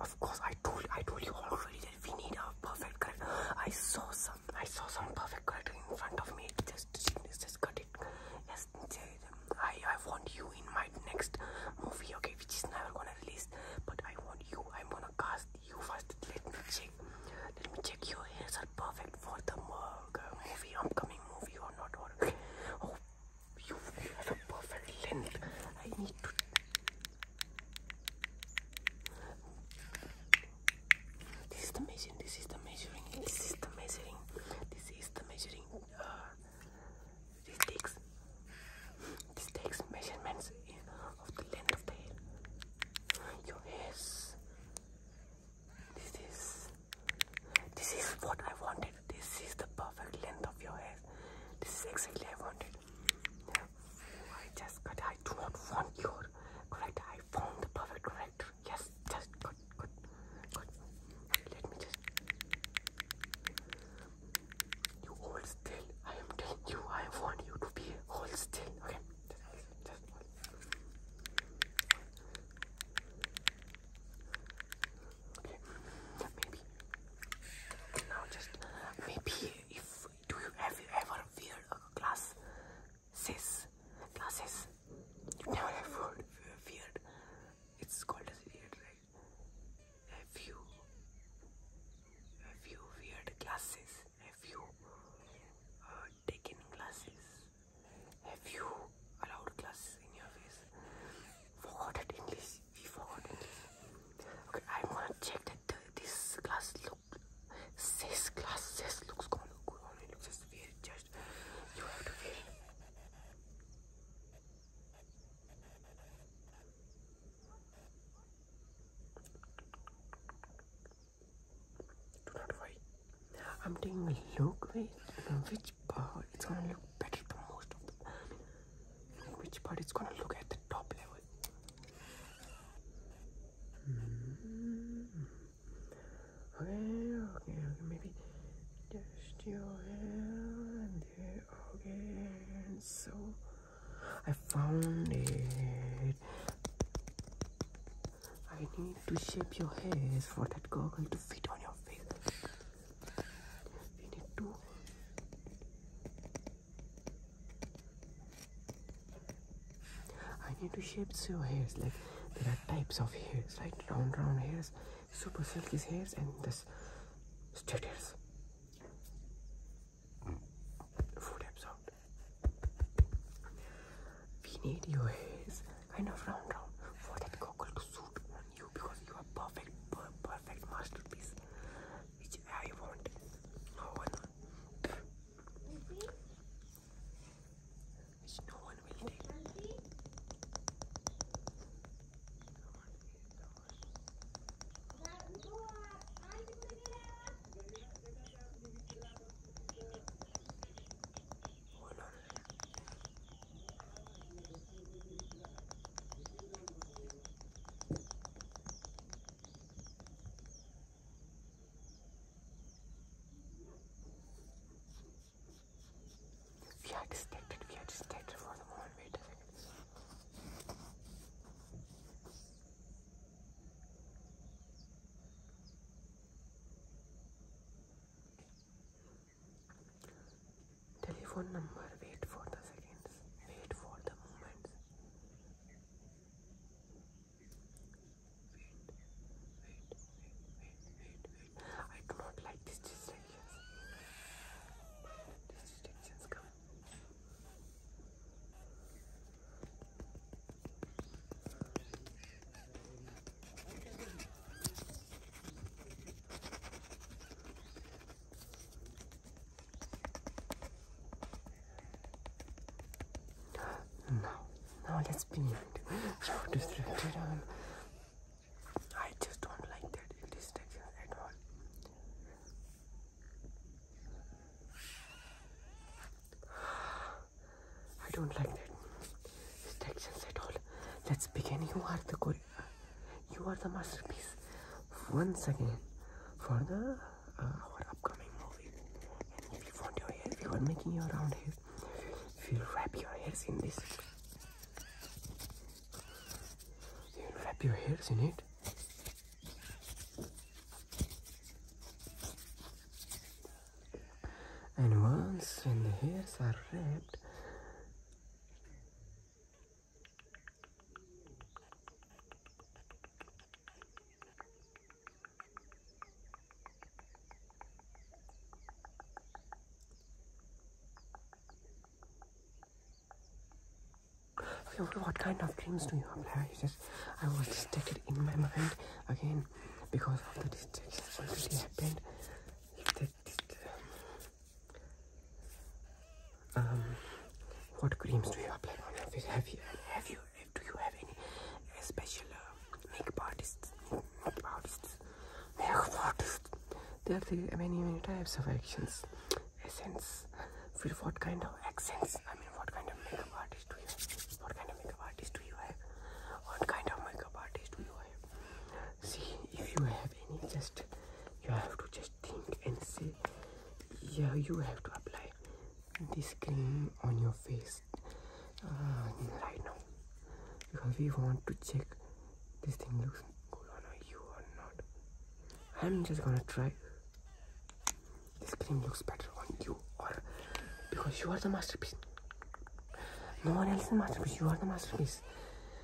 Of, course, I told I told you already that we need a perfect correct. I saw some I saw some perfect correct in front of me. Just just cut it. Yes, I I want you in my next movie. Okay, which is never gonna release, but I want you. I'm gonna cast you first. Let me check. Let me check your hairs are perfect for the uh, movie, upcoming movie or not or. Oh, you have a perfect length. I need to. This is the measuring. This is the measuring. This is the measuring. This is the measuring. Uh, this takes. This takes measurements of the length of the hair. Your hair. This is. This is what I wanted. This is the perfect length of your hair. This is exactly what I wanted. Yeah. I just got. I do not want your correct. I found the perfect correct. Yes, just good, good, good. Let me just. You hold still. I am telling you. I want you to be hold still. Okay. Okay, maybe now just maybe if do you have you ever wear a glass glasses? never have heard weird. It's called as weird, right? Have you have you weird glasses? Have uh, you taken glasses? Have you allowed glasses in your face? Forgot English okay i want to check that this glass look this glass says looks good on it looks weird just you have to wear it do not worry i'm taking a look with which part? it's gonna look better than most of them which part is gonna look at the top level. Mm-hmm. Okay, maybe just your hair and so I found it. I need to shape your hairs for that goggle to fit on your face we need to I need to shape your hairs like there are types of hairs right round round hairs super silky hairs and this straight hairs food absorbed we need your hairs kind of round round for that goggle to suit on you because you are perfect, perfect masterpiece, which I want. No one, which no one will we are distracted, we are distracted for the moment, wait a second. Telephone number, wait for the seconds, wait for the moments. Wait, wait, wait, wait, wait, I do not like these distractions. These distractions come. Now, now let's be meant. distracted. I just don't like that distraction at all. I don't like that distractions at all. Let's begin. You are the you, are the masterpiece once again for the uh, our upcoming movie. And if you want your hair, if you are making your round hair, if you wrap your hairs in this, you wrap your hairs in it. And once when the hairs are wrapped, Okay, what kind of dreams do you have, Larry? Just, I was distracted in my mind again because of the that already happened. Um, what creams do you apply on your face? Have you, have you, do you have any special uh, makeup artists? Makeup artists, makeup artists. There are many, many types of actions. Essence. For what kind of accents? I mean, what kind of makeup artist do you have? What kind of makeup artist do you have? What kind of makeup artist do you have? See, if you have any, just you have to just think and say yeah you have to apply this cream on your face uh, right now because we want to check this thing looks good on you or not i'm just gonna try this cream looks better on you or because you are the masterpiece no one else is masterpiece you are the masterpiece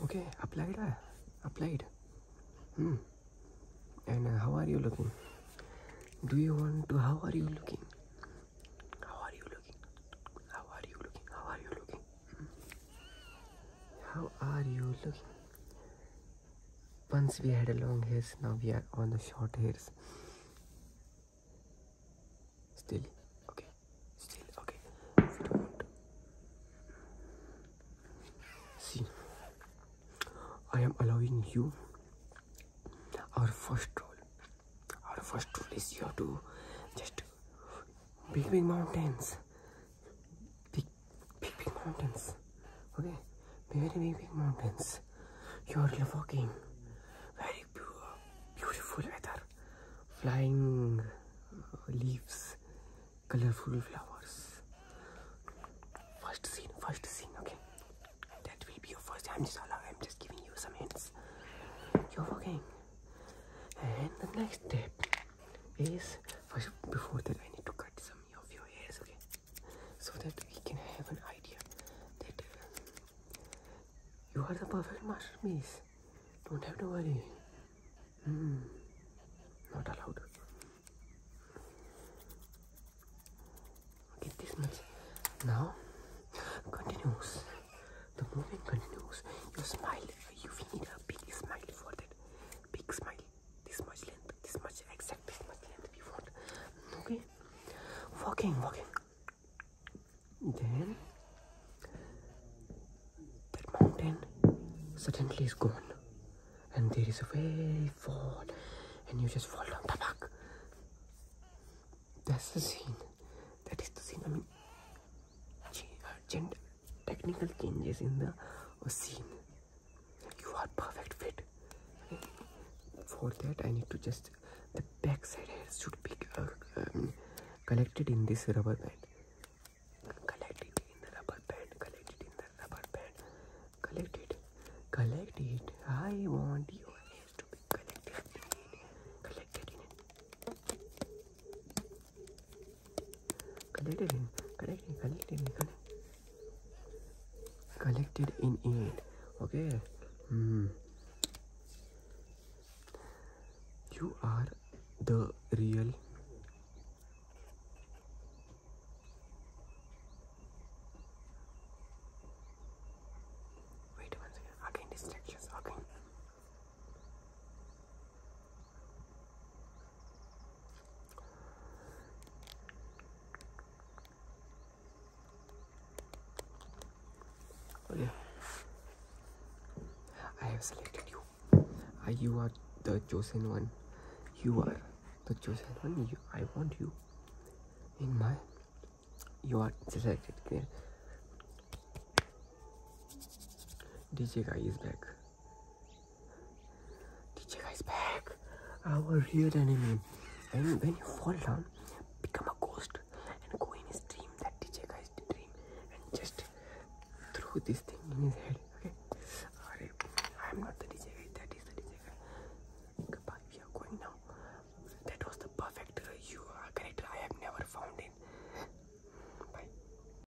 Okay, applied. Ah, applied. Hmm. And uh, how are you looking? Do you want to? How are you looking? How are you looking? How are you looking? How are you looking? How are you looking? Once we had a long hairs, now we are on the short hairs. Still, okay, still, okay. See, I am allowing you our first rule. Our first rule is you have to just big, big mountains. Big, Big, big mountains. Okay? Very, very big mountains. You are looking Very pure, beautiful weather. Flying uh, leaves. Colorful flowers. First scene, first scene, okay? That will be your 1st time. I'm just allowing, I'm just giving you some hints. You're looking. And the next step is before that I need to cut some of your hairs okay so that we can have an idea that um, you are the perfect match, Miss. don't have no worry mm, not allowed okay this much now continues the movement continues you smile you need a big smile for that Big smile. This much length. This much exact. This much length we want. Okay. Walking, walking. Then that mountain suddenly is gone, and there is a way forward, and you just fall down the back. That's the scene. That is the scene. I mean, uh, gender technical changes in the scene you are perfect fit for that i need to just the backside side should be uh, um, collected in this rubber band collect it in the rubber band collect it in the rubber band collect it i want your hairs to be collected in collected in collected in collected collected in, collected in it okay hmm. you are the real Wait one second. Again distractions. Okay. Oh, I have selected you. I, you are the chosen one. You are the chosen one. I want you in my. You are selected. Clear. DJ guy is back. DJ guys back. Our real enemy. And when you fall down, become a ghost and go in his dream, that DJ guy's dream, and just throw this thing in his head. Okay? Alright, I'm not the DJ guy, that is the DJ guy. Goodbye, we are going now. That was the perfect uh, you, uh, character I have never found in. Bye.